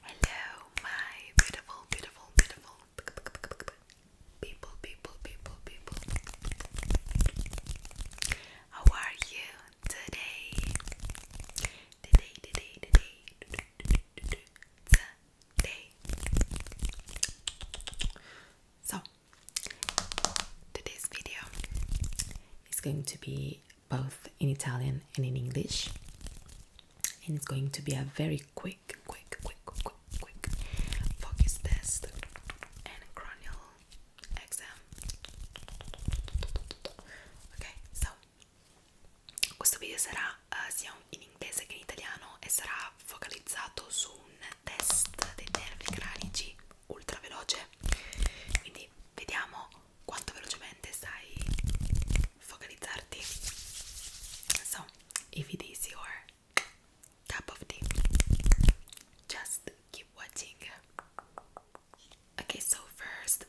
Hello, my beautiful, beautiful, beautiful people, people, people, people. How are you today, today, today, today, today, day. So, today's video is going to be both in Italian and in English, and it's going to be a very quick, quick, quick, quick, quick focus test and cranial exam. Okay, so questo video sarà uh, sia in inglese che in italiano e sarà focalizzato su un test dei nervi cranici ultra veloce quindi vediamo quanto velocemente sai focalizzarti so if it is your cup of tea just keep watching okay so first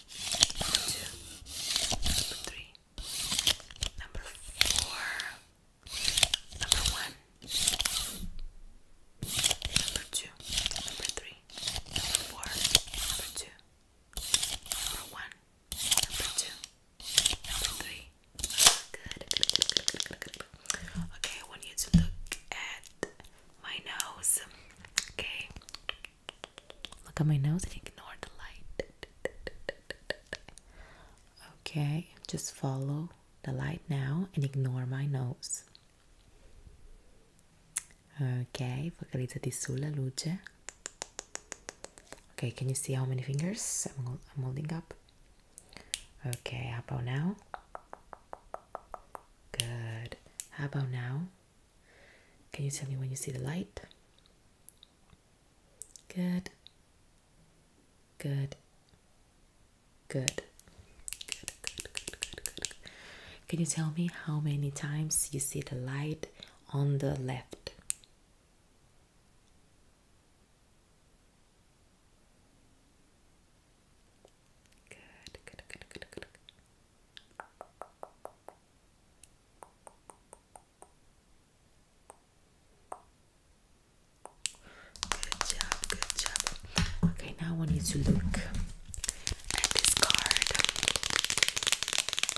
Number two. Number three. Number four. Number one. Number two. Number three. four. Number two. Number one. Number two. Number three. Good. Okay, I want you to look at my nose. Okay. Look at my nose and ignore the light. Okay, just follow the light now and ignore my nose. Ok, focalizzati sulla luce. Ok, can you see how many fingers I'm, I'm holding up? Ok, how about now? Good. How about now? Can you tell me when you see the light? Good. Good. Good. Good, good, good, good, good. Can you tell me how many times you see the light on the left? Good, good, good, good, good. Good job, good job. Okay, now we need to look at this card.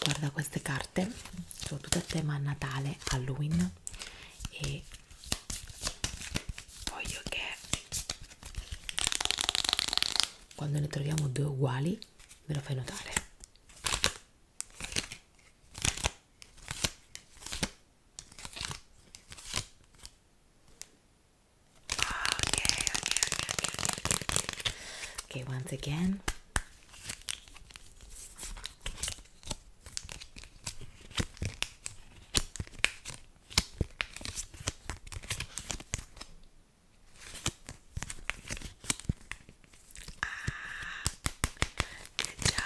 Guarda queste carte, sono tutte a tema Natale, Halloween e voglio che quando ne troviamo due uguali, me lo fai notare. Okay, okay, okay, okay, okay. okay once again. Ah, good job,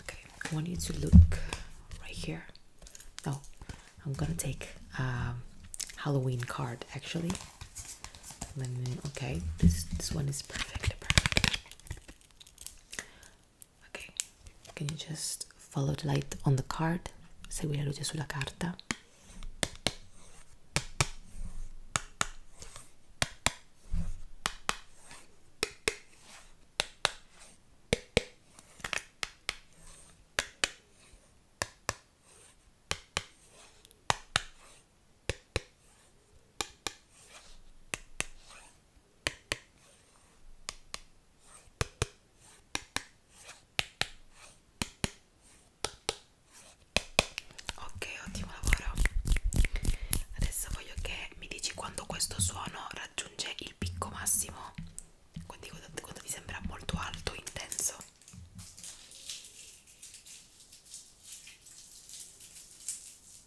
Okay, I want you to look right here. No, I'm gonna take a um, Halloween card actually. okay, this this one is perfect. Ok, can you just follow the light on the card? Segui la luce sulla carta. Ok, ottimo lavoro. Adesso voglio che mi dici quando questo suono raggiunge il picco massimo. Quindi quando ti sembra molto alto, intenso.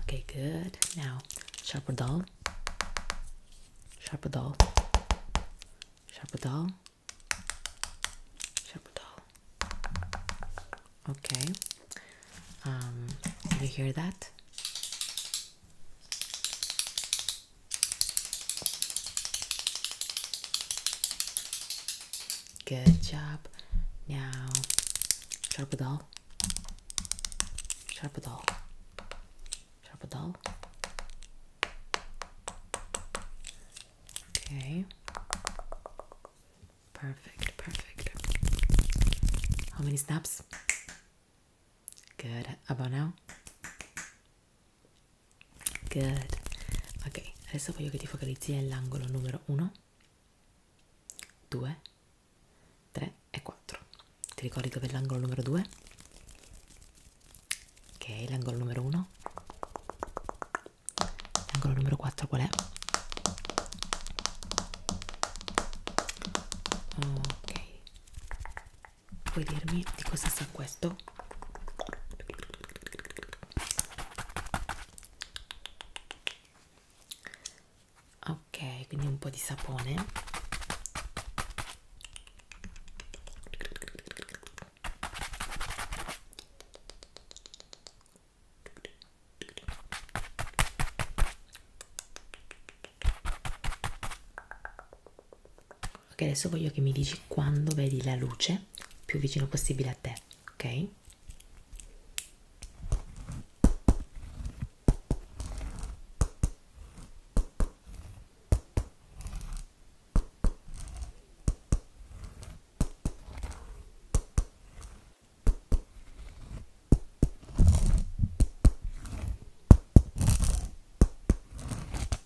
Okay, good. Now, sharp doll, sharp doll, sharp doll, sharp doll. Okay. Um, did you hear that? Good job. Now, sharp it all. Sharp it all. Sharp it all. Okay. Perfect, perfect. How many snaps? Good. about now? Good. Ok, adesso voglio che ti focalizzi nell'angolo numero 1, 2, 3 e 4. Ti ricordi dove è l'angolo numero 2? Ok, l'angolo numero 1. L'angolo numero 4 qual è? Ok. Puoi dirmi di cosa sia questo? Ok, quindi un po' di sapone ok adesso voglio che mi dici quando vedi la luce più vicino possibile a te ok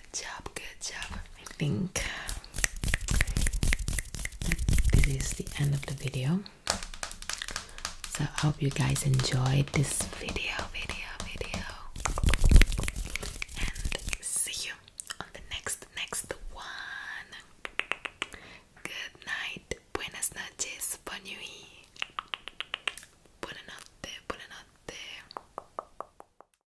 Good job, good job. I think this is the end of the video. So I hope you guys enjoyed this video, video, video. And see you on the next, next one. Good night. Buenas noches. Bonne nuit. Buonanotte. Buonanotte.